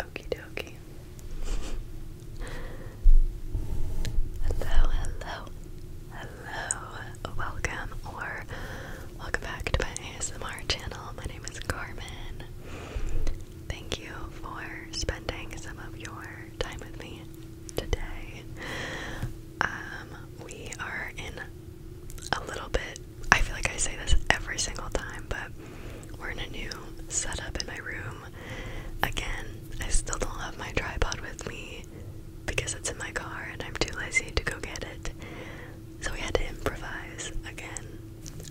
Okie dokie. hello, hello, hello. Welcome or welcome back to my ASMR channel. My name is Carmen. Thank you for spending some of your time with me today. Um, we are in a little bit. I feel like I say this every single time, but we're in a new setup in my room. Again, I still don't have my tripod with me because it's in my car and I'm too lazy to go get it. So we had to improvise again.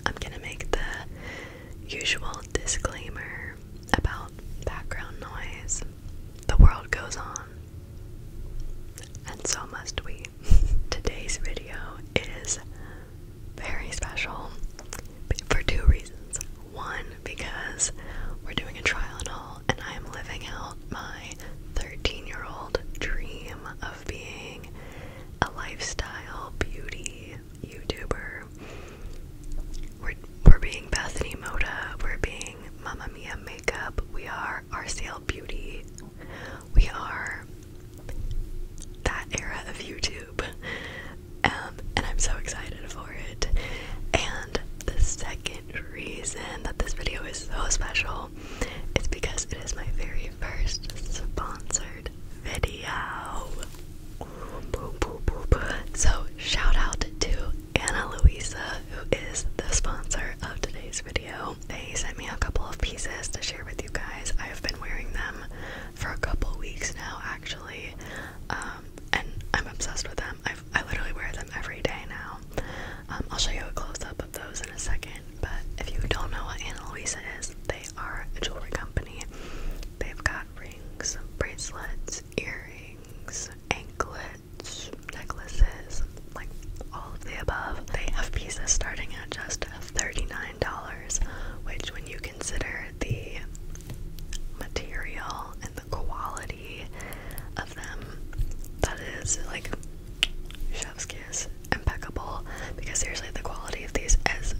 I'm gonna make the usual disclaimer about background noise. The world goes on. And so must we. Today's video is very special for two reasons. One, because we're doing a trial and all, and I am living out my 13 year old dream of being a lifestyle beauty YouTuber. We're, we're being Bethany Moda, we're being Mamma Mia makeup, we are RCL Beauty, we are that era of YouTube, um, and I'm so excited for it. And the second reason that this video is so special is because it is my very first sponsored video. So, shout out to Anna Luisa, who is the sponsor of today's video. They sent me a couple of pieces to share with you guys. I have been wearing them for a couple weeks now, actually, um, and I'm obsessed with them. i literally wear them every day now. Um, I'll show you a close up of those in a second, but if you don't know what Anna Luisa is, they are a jewelry company. They've got rings, bracelets, earrings, anklets necklaces, like all of the above. They have pieces starting at just $39, which, when you consider the material and the quality of them, that is like chef's kiss, impeccable. Because seriously, the quality of these is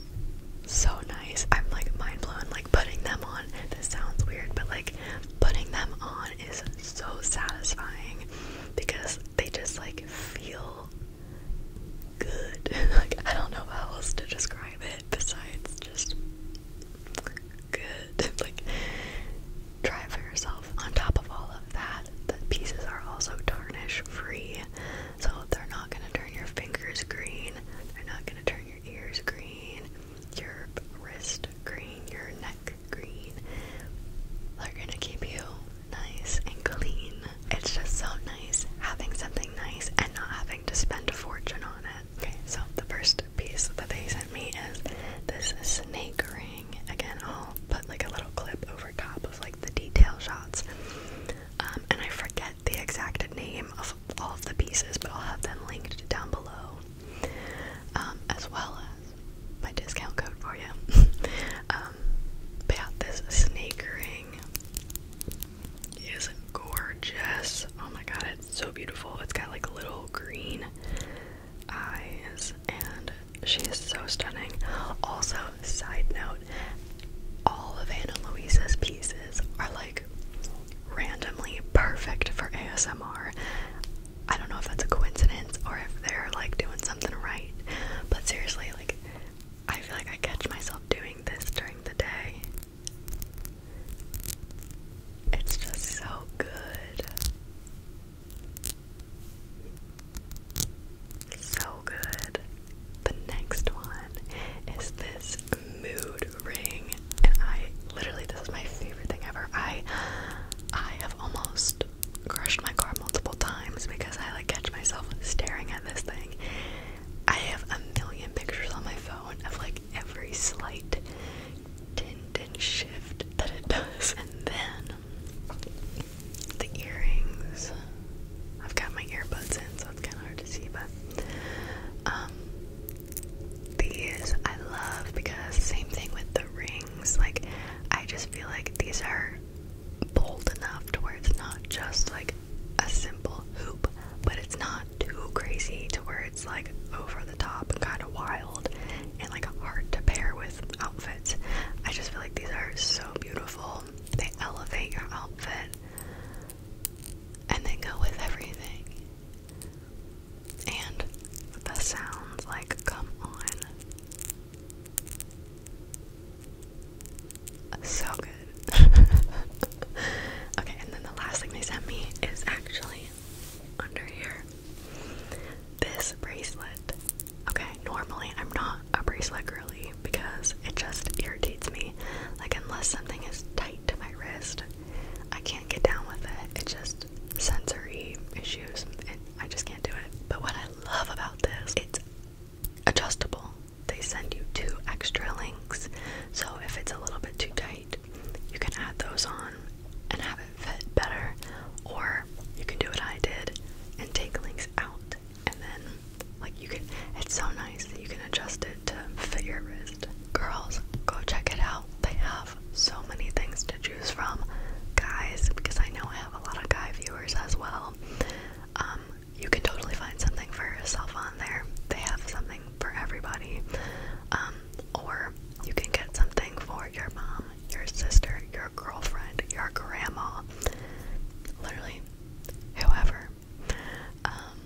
so nice. I'm like mind blown, like putting them on. This sounds weird, but like putting them on is so satisfying because they just like feel good. like I don't know how else to describe it besides just good. like try it for yourself. On top of all of that, the pieces are also tarnish free. So they're not gonna turn your fingers green, they're not gonna turn your ears green, your wrist green, your neck green. They're gonna keep you nice and clean. It's just so nice having something nice and not having to spend a fortune on it. so the first piece that they sent me is this snake ring. Again, I'll put like a little clip over top of like the detail shots. Um, and I forget the exact name of all of the pieces, but I'll have them linked down below. Um, as well as my discount code for you. Um, yeah, this snake ring is gorgeous. Oh my god, it's so beautiful. It's got like little green eyes, and she is so stunning. Also, side note, all of Anna Louise's pieces are like randomly perfect for ASMR. I don't know if that's a coincidence or if they're like doing something right, but seriously, like, I feel like I catch myself doing this during the day. It's just so good. So good. The next one is this mood ring, and I literally, this is my favorite thing ever. I I have almost crushed my car multiple times because I like catch myself staring at this thing. I have a million pictures on my phone of like every slight tint and shift that it does. And then the earrings. I've got my earbuds in, so it's kind of hard to see, but um, these I love because same thing with the ring. Like, I just feel like these are bold enough to where it's not just like a simple hoop, but it's not too crazy to where it's like over the top kind of wild and like hard to pair with outfits. I just feel like these are so beautiful. They elevate your outfit and they go with everything. And the sounds like, come on. So good. okay, and then the last thing they sent me is actually under here this bracelet. Okay, normally I'm not a bracelet girly because it just irritates me. Like, unless something is tight to my wrist, I can't get down with it. It just sensory issues and I just can't do it. But what I love about this, it's adjustable. They send you two extra links. So if it's a little bit too tight, you can add those on and have it fit better or you can do what I did and take links out and then like you can it's so nice that you can adjust it to fit your wrist. Girls, go check it out. They have so many things to choose from, guys, because I know I have a lot of guy viewers as well. Um, you can totally find something for yourself on there. They have something for everybody. Um, or you can get something for your mom, your sister, your girlfriend, your grandma, literally whoever. Um,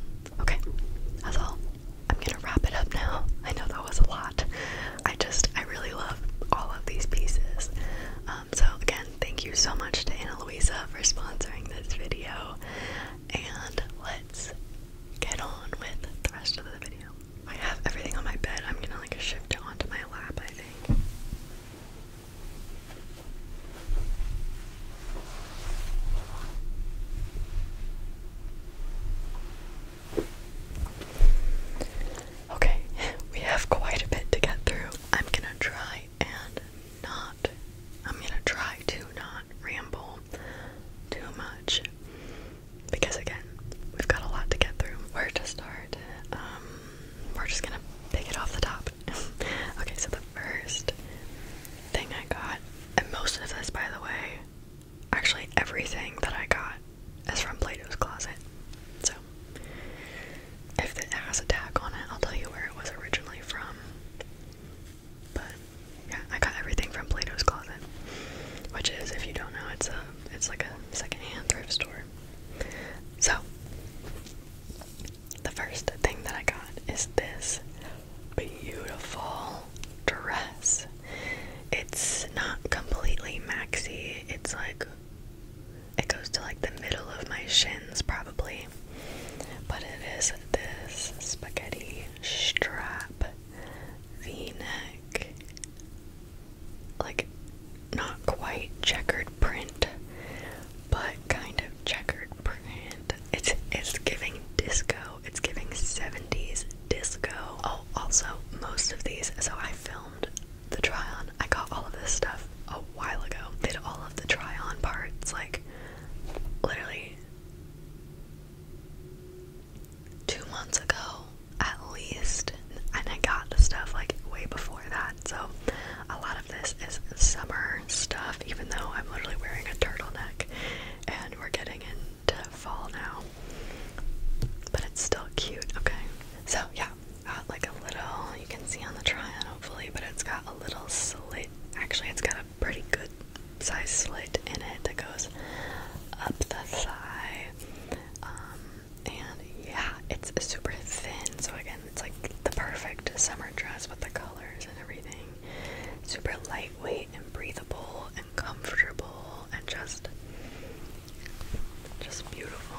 okay, that's all. I'm gonna wrap it up now. I know that was a lot, I just, I really love all of these pieces. Um, so again, thank you so much to Ana Luisa for sponsoring this video, and let's get on with the rest of the video. I have everything on my bed. I'm gonna like shift it onto my lap, I think. Okay, we have quite a bit to get through. I'm gonna try and not, I'm gonna try to not ramble too much because, again, we've got a lot to get through. Where to start? Um, we're just gonna pick it off the top. okay, so the first thing I got, and most of this, by the way, actually everything that I got is from Plato's Closet. So if it has a tag on it, I'll tell you where it was originally from. But yeah, I got everything from Plato's Closet, which is, if you don't know, it's a it's like a secondhand thrift store. So the first thing that I got is this beautiful dress it's not completely maxi. It's like it goes to like the middle of my shins probably. But it is this spaghetti strap v-neck. Like not quite checkered print, but kind of checkered print. It's it's giving disco. It's giving 70s disco. Oh, also, most of these, so I filmed the try on. I got all of this stuff a while ago. Did all of the try on parts, like literally two months ago at least. And I got the stuff like way before that. So a lot of this is summer stuff, even though I'm literally wearing a turtleneck and we're getting in to fall now, but it's still cute. Okay, so yeah, got uh, like a little you can see on the try on hopefully, but it's got a little slit. Actually, it's got a pretty good size slit in it that goes up the thigh. Um, and yeah, it's super thin, so again, it's like the perfect summer dress with the colors and everything. Super lightweight and breathable and comfortable, and just just beautiful.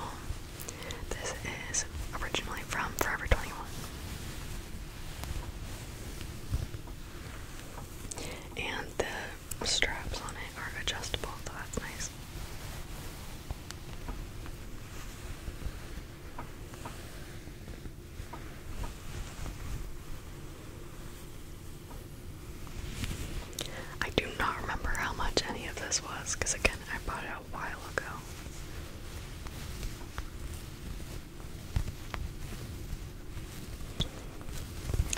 This is originally from Forever 21. And the straps on it are adjustable, so that's nice. I do not remember how much any of this was because, again, I bought it a while ago.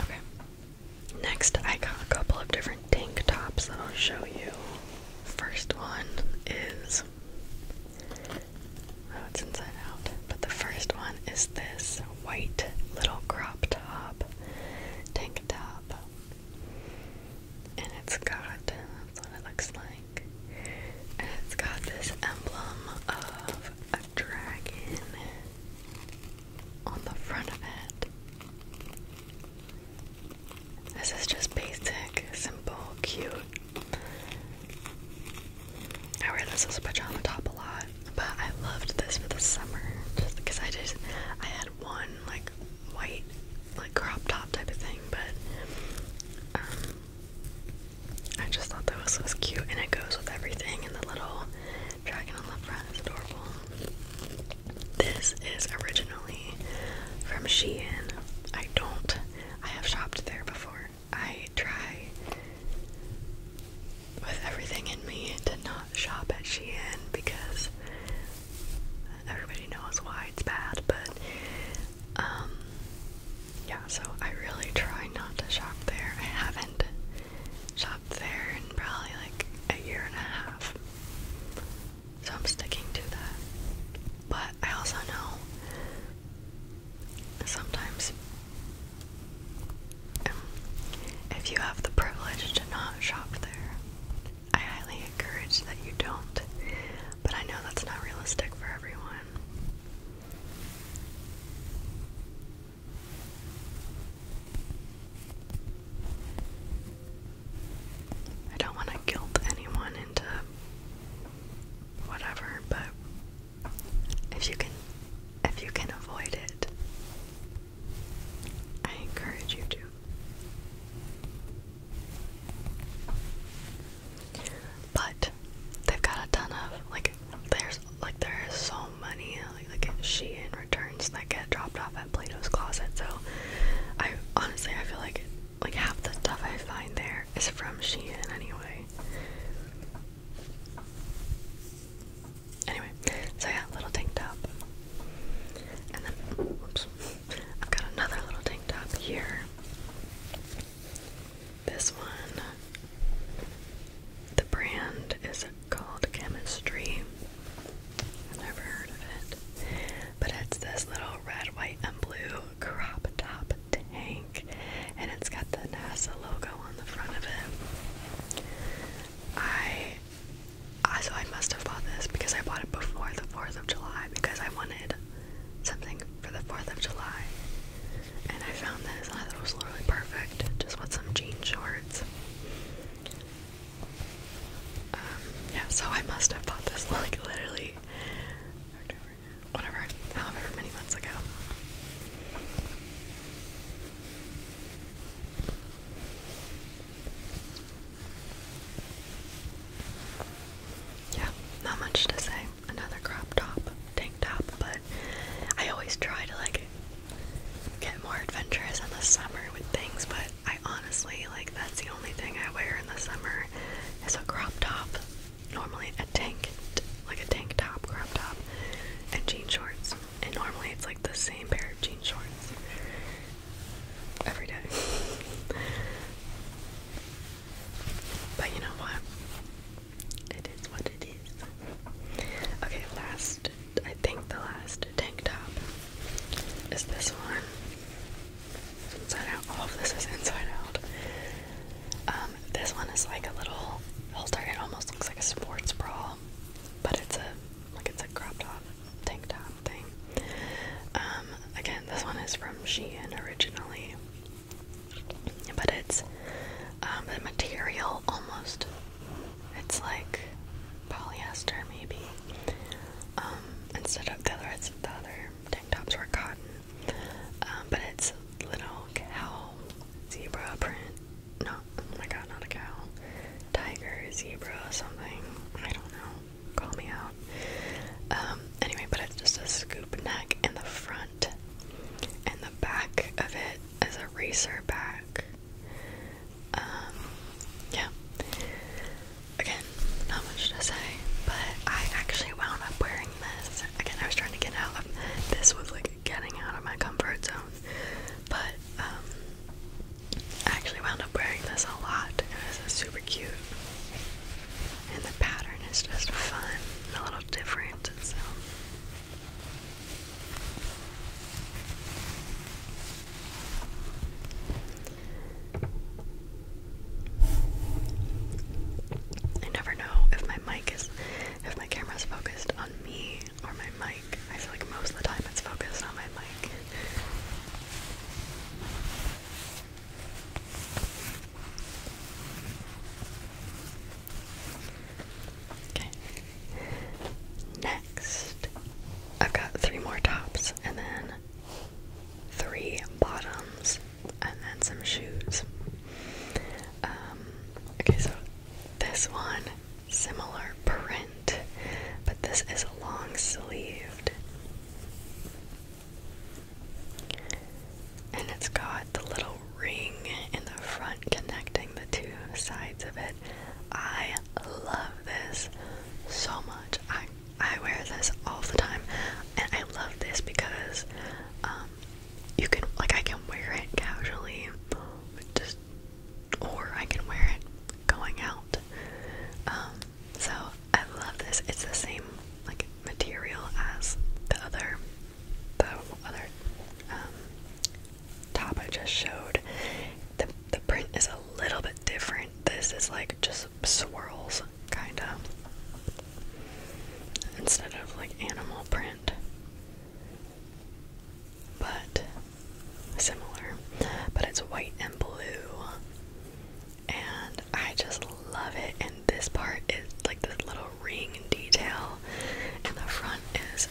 Okay. Next, I got a couple of different tank tops that I'll show you. First one is. Oh, it's inside out. But the first one is this white little crop top tank top. And it's got, that's what it looks like. And it's got this emblem of a dragon on the front of it. This is just basic, simple, cute. I wear this as a pajama top a lot. But I loved this for the summer just because I just I had one like white like crop top type of thing, but um, I just thought that was so cute and it goes with everything and the little dragon on the front is adorable. This is originally from Shein. I don't I have shopped there before. I try with everything in me to not shop at Shein because everybody knows why it's bad, but um yeah, so I really try not to shop there. I haven't shopped there in probably like a year and a half. So I'm sticking to that. But I also know sometimes if you have the privilege to not shop there, I highly encourage that you don't, but I know that's not realistic for everyone. I don't want to guilt anyone into whatever, but if you can if you can avoid it, I encourage you to. But they've got a ton of like there's like there is so many like like Shein returns that get dropped off at Plato's Closet. So I honestly I feel like like half the stuff I find there is from Shein anyway. Anyway, so yeah, little tank top. And then, oops, I've got another little tank top here. This one, the brand is called Chemistry. I've never heard of it. But it's this little red, white, and blue crop top tank. And it's got the NASA logo on the front of it. I so I must have bought this because I bought it before the 4th of July because I wanted something for the 4th of July. And I found this and I thought it was literally perfect, just with some jean shorts. Um, yeah, so I must have bought this like literally whatever, however many months ago. Yeah, not much to say. Another crop top, tank top, but I always try to like get more adventurous in the summer with things, but I honestly like that's the only thing I wear in the summer is a crop top. Normally a tank, like a tank top, crop top, and jean shorts and normally it's like the same pair of jean shorts every day. but you know what? It is what it is. Okay, last, I think the last tank top is this one. It's inside out. All of this is inside out. Um, this one is like a little halter. It almost looks like a sports bra, but it's a like it's a crop top, tank top thing. Um, again, this one is from Shein originally, but it's um, the material almost. It's like polyester, maybe. Um, instead of the other, the other tank tops were cotton, but it's little cow zebra print no, oh my god, not a cow. Tiger, zebra, something. I don't know. Call me out. Um, anyway, but it's just a scoop neck in the front, and the back of it is a racer back. Um, yeah. Again, not much to say, but I actually wound up wearing this. Again, I was trying to get out of this was like getting out of my comfort zone, but um, I actually wound up wearing this a lot. It was super cute. And the pattern is just fun and a little different. So. I never know if my mic is, if my camera's focused on me or my mic. I feel like most of the time it's focused on my mic. Okay. Next, i got three more tops and then three bottoms and then some shoes. Um, okay, so this one similar print, but this is long sleeved. And it's got the little ring in the front connecting the two sides of it. I love this so much. I I wear this all the time, and I love this because um, you can like I can wear it casually, just or I can wear it going out. Um, so I love this. It's the same like material as the other, the other um, top I just showed. The the print is a little bit different. This is like just swirls, kind of, instead of like animal print but similar. But it's white and blue, and I just love it. And this part is like this little ring detail, and the front is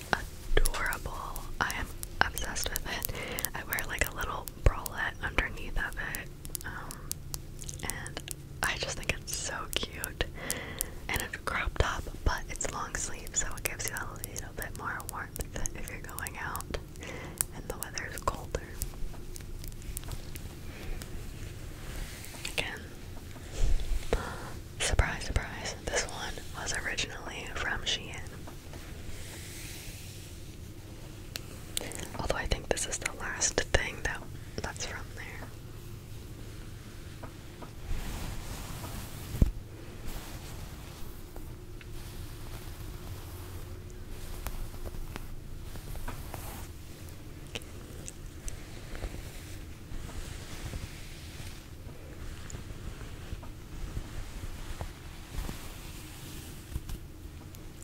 adorable. I am obsessed with it. I wear like a little bralette underneath of it, um, and I just think it's so cute. And it's a crop top, but it's long sleeve, so it gives you a little bit more warmth if you're going out and the weather is colder. Again, surprise, surprise, this one was originally from Shein. Although I think this is the last thing that that's from there.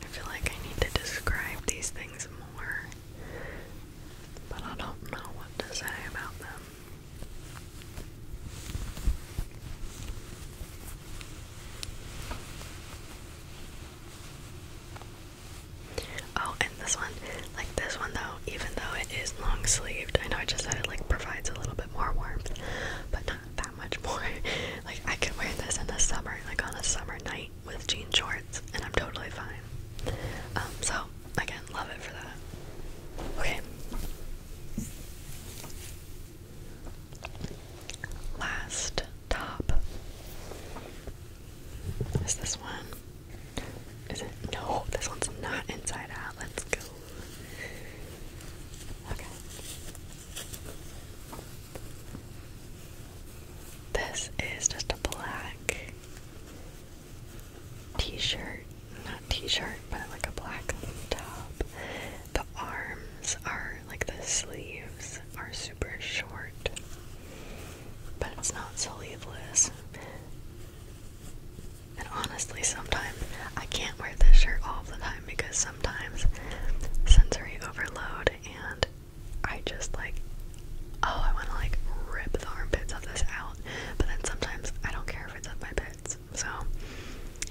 I feel like I need to describe these things more, but I don't know what to say about them. Oh, and this one, like this one though, even though it is long sleeved, I know I just said it like provides a little bit more warmth, but not that much more. like I could wear this in the summer, like on a summer night with jean shorts, and I'm totally fine. Um, so again, love it for that. Okay, Last top is this one. Is it? No, this one's not inside out. Let's go. Okay. This is just a black t-shirt, not t-shirt, but like a black top. The arms are like the sleeves are super short, but it's not sleeveless. And honestly, sometimes I can't wear this shirt all the time because sometimes sensory overload and I just like, oh, I want to like rip the armpits of this out. But then sometimes I don't care if it's up my back so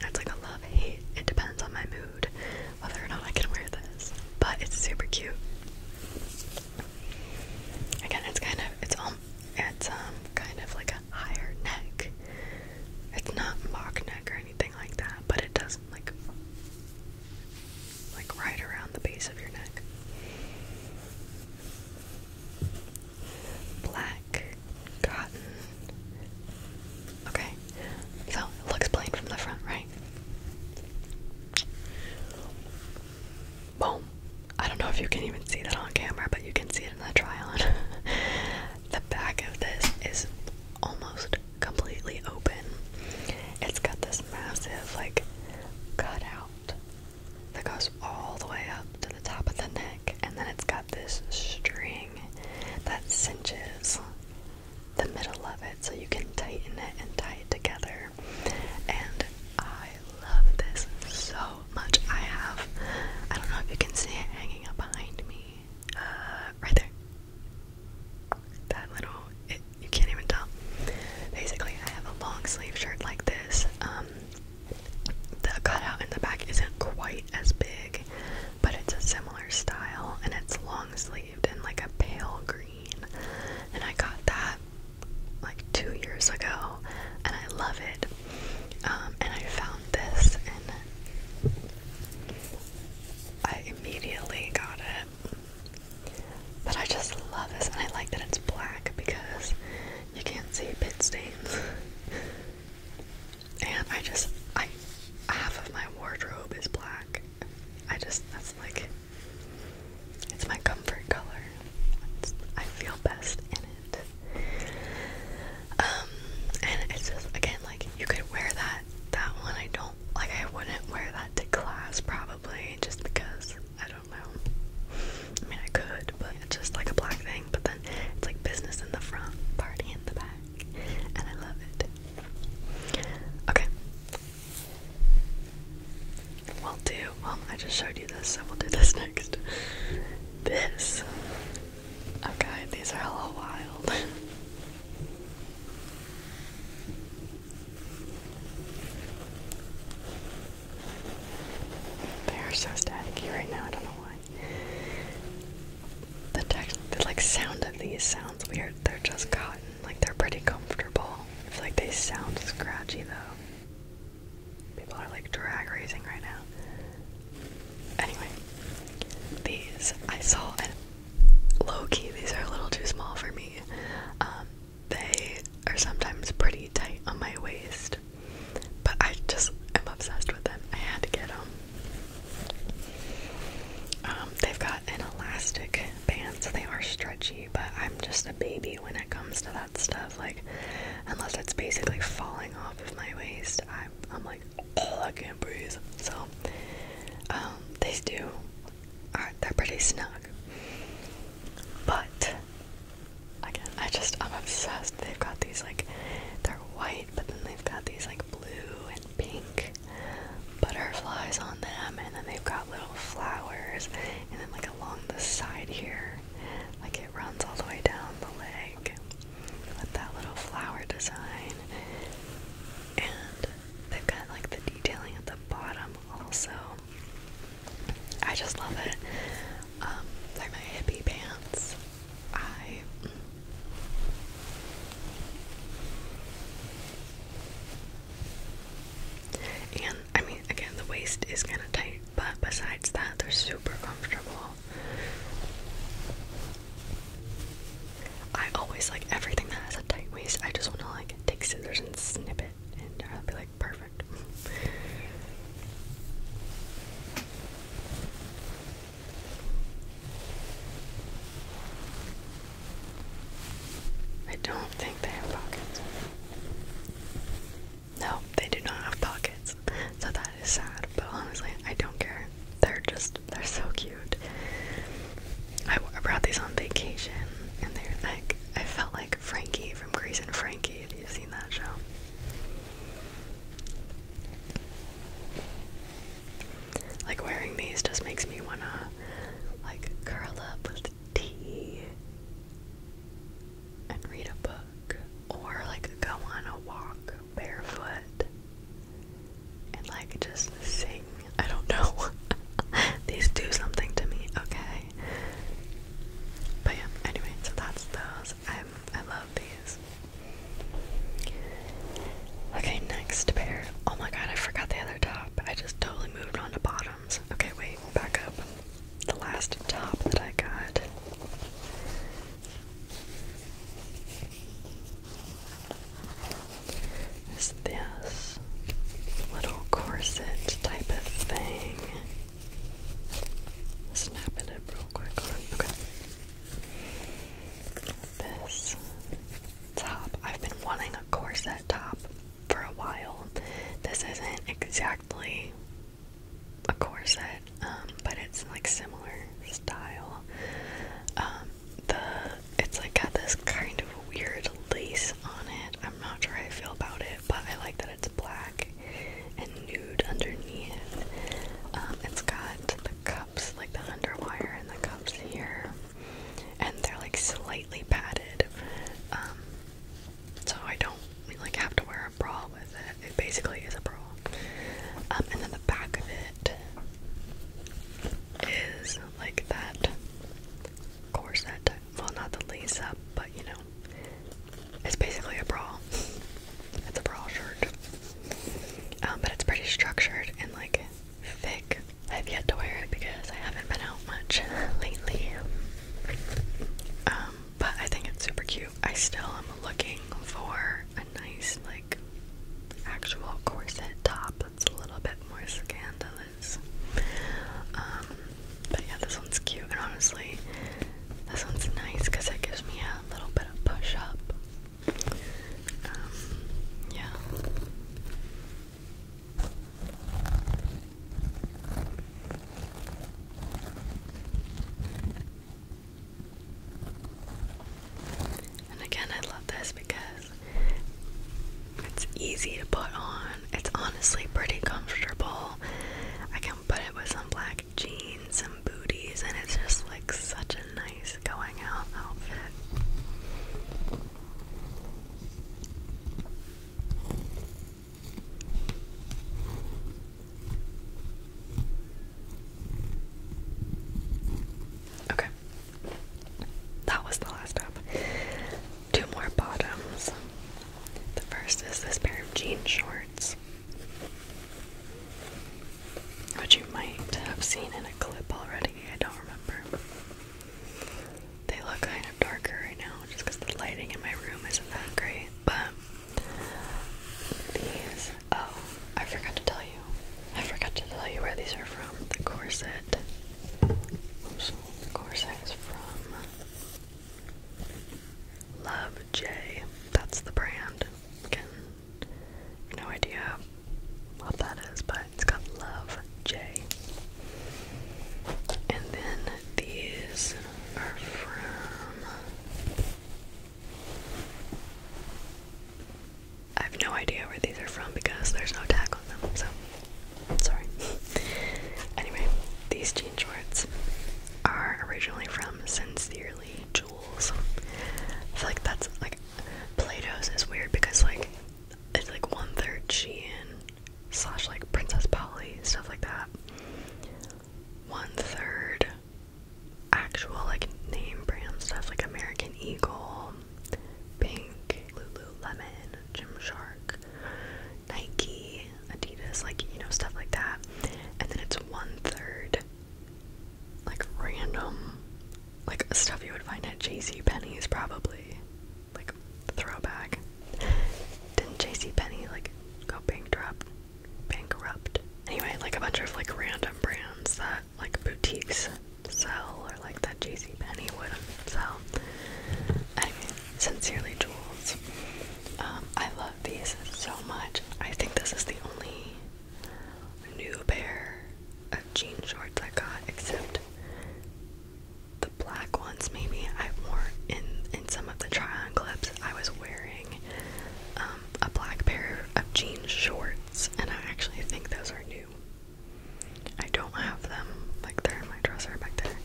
it's like a love hate. It depends on my mood whether or not I can wear this. But it's super cute. Again, it's kind of it's um it's um kind of like a higher neck. It's not mock neck or anything like that, but it does like like right around the base of your neck black cotton. Okay, so it looks plain from the front, right? Boom. I don't know if you can even see that on camera, but you can see it in the try on. the back of this is almost completely open. It's got this massive, like, cutout that goes all the way up to the top of the neck and then it's got this string that cinches the middle of it so you can tighten it and tie it together. And I love this so much. I have, I don't know if you can see it hanging up behind me, uh, right there. That little, it, you can't even tell. Basically, I have a long sleeve shirt like this. Um, the cutout in the back isn't quite as big, but it's a similar style and it's long sleeved and like a pale green. And I got that like two years ago and I love it. Um, and I found this and I immediately got it. But I just love this and I like that it's black because you can't see pit stains. And I just, I, half of my wardrobe is black. I just, that's like, it's my comfort color. I feel best in it. Um, and it's just, again, like, you could wear that, that one. I don't, like, I wouldn't wear that to class probably just because, I don't know. I mean, I could, but it's just like a black thing. But then it's like business in the front, party in the back, and I love it. Okay. we do. Well, I just showed you this, so we'll do this next. This. Okay, these are a wild. They are so staticky right now, I don't know why. The like sound of these sounds weird. They're just cotton, like they're pretty comfortable. It's like they sound scratchy though. People are like drag racing right now. Anyway, these I saw and low key. These are a little too small for me. Um, they are sometimes pretty tight on my waist. But I just am obsessed with them. I had to get them. Um, they've got an elastic band, so they are stretchy, but I'm just a baby when it comes to that stuff. Like, unless it's basically falling off of my waist, I'm, I'm like, oh, I can't breathe. So, um, they do, they're pretty snug. But Again, I just I'm obsessed. They've got these like they're white, but then they've got these like blue and pink butterflies on them, and then they've got little flowers, and then like along the side here, like it runs all the way down the leg with that little flower design. And they've got like the detailing at the bottom also. I just love it. Um, they're my hippie pants. I and I mean again the waist is kind of tight, but besides that they're super comfortable. I always like everything that has a tight waist. I just want to like take scissors and snip it, and I'll uh, be like perfect. I don't think they have pockets. No, they do not have pockets. So that is sad, but honestly, I don't care. They're just, they're so cute. I, I brought these on vacation, and they're like, I felt like Frankie from *Grease* and Frankie. Have you seen that show? Like wearing these just makes me wanna like curl up with tea and read a book or like go on a walk barefoot and like just sing. I don't know. these do something to me, okay? But yeah, anyway, so that's those. I'm I love these. Okay, next pair. Oh my god, I forgot the other top. I just totally moved on to bottoms. Okay, wait, back up. The last top that I got. Is this little corset type of thing? Snapping it real quick. Okay. This top. I've been wanting a corset top for a while. This isn't exactly a corset, um, but it's like similar style. Um, the it's like got this kind of weird lace on it. I'm not sure how I feel about it, but I like that it's black and nude underneath. Um, it's got the cups, like the underwire and the cups here, and they're like slightly padded. Um, so I don't like have to wear a bra with it. It basically is a bra. Um, and then the back of it is like that corset. Well, not the lace up, but you know, it's basically a bra. It's a bra shirt. Um, but it's pretty structured and like thick. I've yet to wear it because I haven't been out much lately. Um, but I think it's super cute. I still am looking for a nice like actual corset top that's a little bit more scandalous. Um, but yeah, this one's cute and honestly this one's nice because it gives me a little bit of push up. Um, yeah. And again, I love this because it's easy to put on. It's honestly pretty comfortable. I but it was some black jeans, some booties, and it's just like such a nice going out outfit. Okay, that was the last stop. Two more bottoms. The first is this pair of jean shorts which you might have seen in a clip already, I don't remember. They look kind of darker right now just because the lighting in my room isn't that great, but these, oh, I forgot to tell you. I forgot to tell you where these are from. The corset. Oops, the corset is from Love J. That's the brand. no idea what that is, but it's got Love J. And then these are from. I have no idea where these are from because there's no tag on them, so sorry. anyway, these jean shorts are originally from Sincere yearly jewels. I feel like that's like Plato's is weird because like it's like one third Shein slash like Princess Polly stuff like that. One third actual like name brand stuff like American Eagle, Pink, Lululemon, Shark, Nike, Adidas, like you know, stuff like that. And then it's one third like random like stuff you would find at JC Penney's probably. Like throwback. Didn't JC Penney like go bankrupt bankrupt? Anyway, like a bunch of like random brands that like boutiques sell or like that JC Penney wouldn't sell. Anyway, sincerely jewels. Um, I love love these so much. I think this is the only new pair of jean shorts I got, except the black ones. Maybe I wore in in some of the try-on clips. I was wearing um, a black pair of jean shorts, and I actually think those are new. I don't have them like they're in my dresser back there,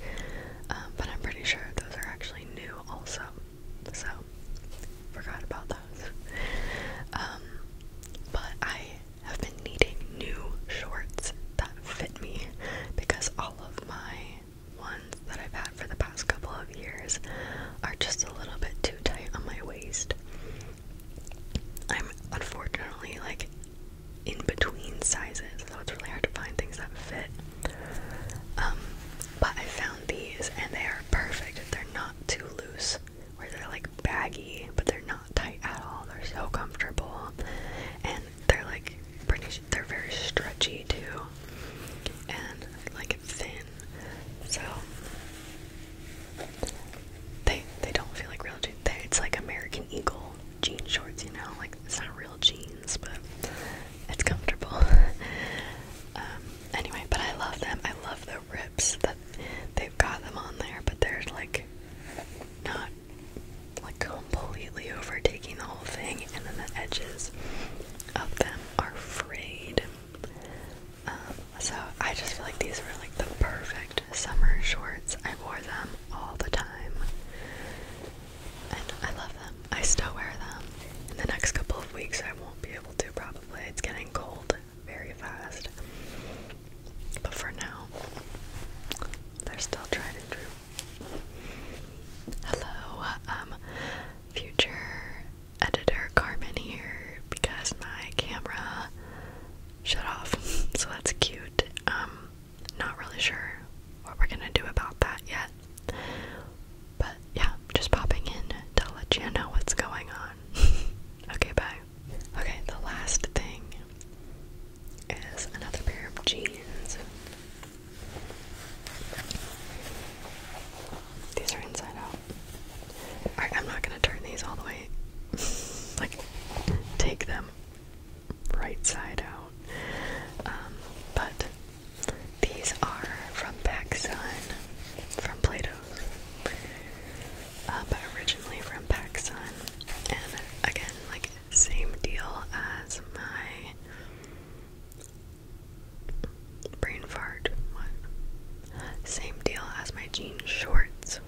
um, but I'm pretty sure those are actually new also so forgot about those. Um, but I have been needing new shorts that fit me because all of my ones that I've had for the past couple of years are just a little bit too tight on my waist. I'm unfortunately like in between sizes, so it's really hard to find things that fit. Um, but I found these and they are perfect. They're not too loose, where they're like baggy, but they're not tight at all. They're so comfortable, and they're like pretty. They're very stretchy too, and like thin. So they they don't feel like real jeans. it's like American Eagle jean shorts, you know. Like it's not real jeans, but it's comfortable. Um, anyway, but I love them. I love the rips that they've got them on there, but they're like not like completely overtaking the whole thing, and then the edges of them are frayed. Um, so I just feel like these were like the perfect summer shorts. I wore them all the time, and I love them. I still wear them. In the next couple of weeks, I won't be able to probably. It's getting cold very fast. But for now, they're still tried and true. Hello, um, future editor Carmen here because my camera shut off. so that's cute. Um, not really sure what we're gonna do about that yet. But yeah, just popping in to let you know what's going on. okay, bye. Okay, the last thing is another pair of jeans. These are inside out. I'm not gonna turn these all the way. like, take them right side out. Um, but these are from Pac from Plato's, uh, but originally from Pac And again, like same deal as my brain fart one. Same deal as my jean shorts.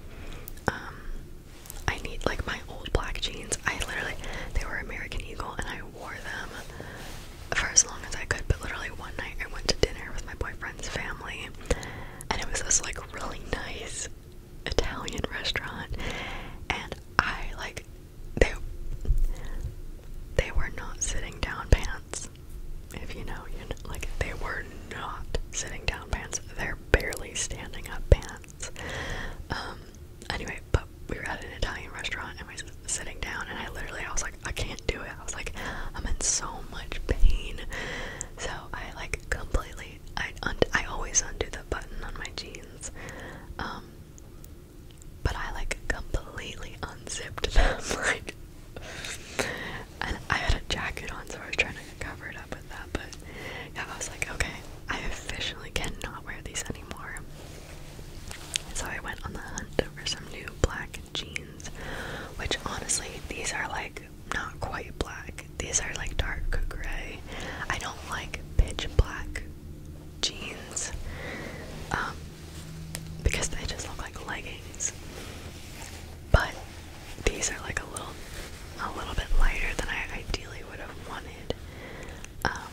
Um, I need like my old black jeans. I literally they were American Eagle and I wore them for as long as I could, but literally one night I went to dinner with my boyfriend's family, and it was this like really nice Italian restaurant, and I like they they were not sitting down pants. If you know, you know, like they were not sitting down pants. They're barely standing up pants. Um. Anyway, but we were at an Italian restaurant and we were sitting down, and I literally, I was like, I can't do it. I was like, I'm in so much pain. So I like completely, I I always undo the button on my jeans, um, but I like completely unzipped them, like, and I had a jacket on, so I was trying to cover it up with that. But yeah, I was like, okay, I officially cannot wear these anymore. So I went on the hunt for some new black jeans, which honestly, these are like not quite black. These are like dark gray. I don't like pitch black jeans um, because they just look like leggings. But these are like a little, a little bit lighter than I ideally would have wanted. Um,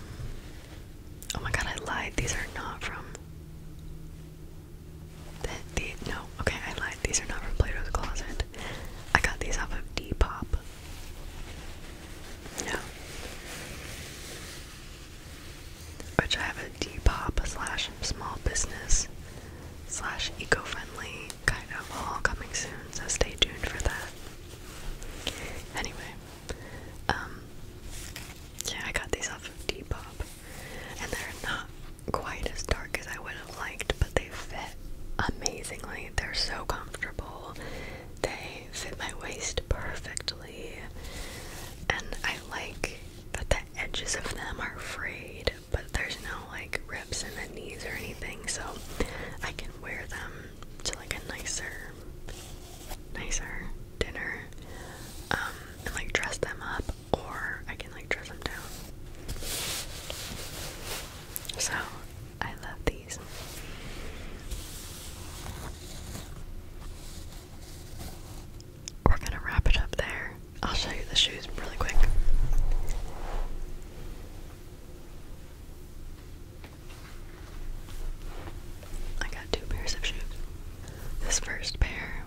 Oh my god, I lied. These are not from. The, the, no, okay, I lied. These are not from Plato's Closet. I got these off of Depop. No. Which I have a Depop slash small business slash eco friendly kind of haul coming soon, so stay tuned for that. Anyway. Um, yeah, I got these off of Depop, and they're not quite as dark as I would have liked, but they fit amazingly. They're so comfortable. They fit my waist perfectly, and I like that the edges of them are frayed, but there's no like rips in the knees or anything, so I can wear them to like a nicer nicer dinner um, and like dress them up, or I can like dress them down. So I love these. We're gonna wrap it up there. I'll show you the shoes really quick. I got two pairs of shoes. This first pair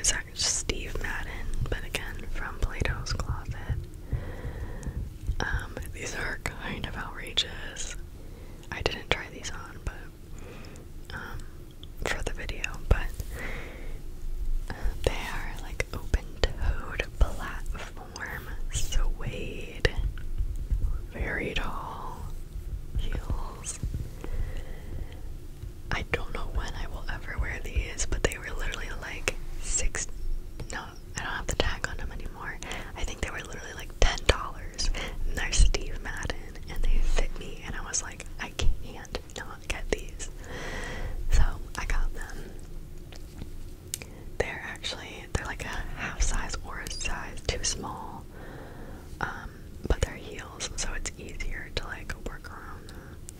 is actually Steve Madden, but again from Plato's Closet. Um, these are kind of outrageous. I didn't try these on, but um, for the video, but uh, they are like open-toed platform suede, very tall heels. I don't know when I will ever wear these, but they were literally like six. No, I don't have the tag on them anymore. I think they were literally like ten dollars, they're Steve Madden, and they fit me, and I was like, I can't not get these, so I got them. They're actually they're like a half size or a size too small well. Um, but they're heels, so it's easier to like work around them.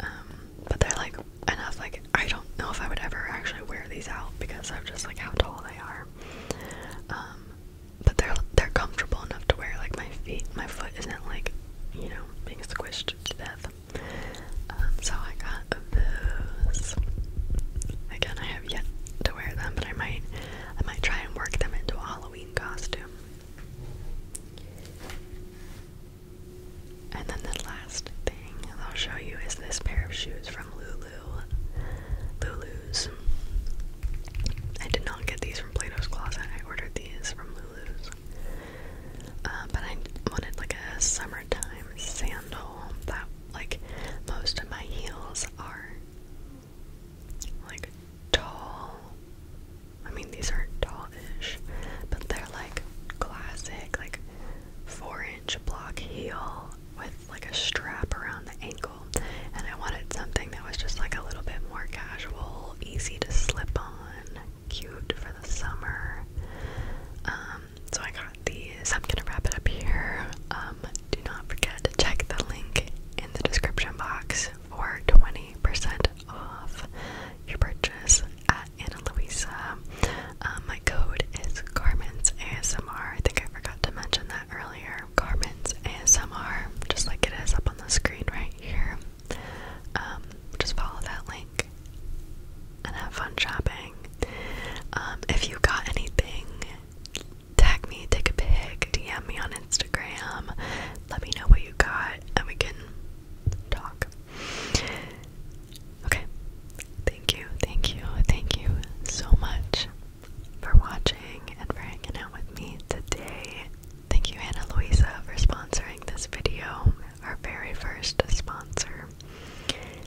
Um, but they're like enough. Like I don't know if I would ever actually wear these out because of just like how tall they are. Um, but they're they're comfortable enough to wear. Like my feet, my foot isn't like you know being squished to death. Um, so I got those. Again, I have yet to wear them, but I might. I might try and work them into a Halloween costume. And then the last thing I'll show you is this pair of shoes from Lulu. Lulu's. I did not get these from Plato's Closet. I ordered these from Lulu's. Uh, but I wanted like a summertime sandal that, like, most of my heels are like tall. I mean, these aren't tallish, but they're like classic, like four-inch block heel with like a strap around the ankle. And I wanted something that was just like a little bit more casual, easy to slip on, cute for the summer. Um, so I got these. I'm gonna wrap it up here. Um, do not forget to check the link in the description box for 20% off your purchase at Ana Luisa. Um, my code is Carmen's ASMR. I think I forgot to mention that earlier. Carmen's ASMR, just like it is up on the screen right here. Um, just follow that link and have fun shopping. Um, if you got anything tag me, take a pic, DM me on Instagram, let me know what you got, and we can talk. Okay, thank you, thank you, thank you so much for watching and for hanging out with me today. Thank you, Anna Luisa, for sponsoring this video, our very first sponsor.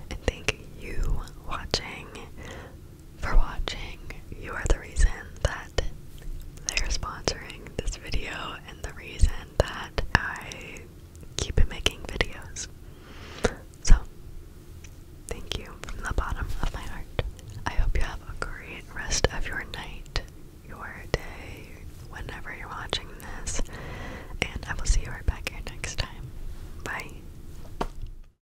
And thank you watching for watching. You are the reason that they're sponsoring this video and the reason that I keep making videos. So, thank you from the bottom of my heart. I hope you have a great rest of your night, your day, whenever you're watching this, and I will see you right back here next time. Bye.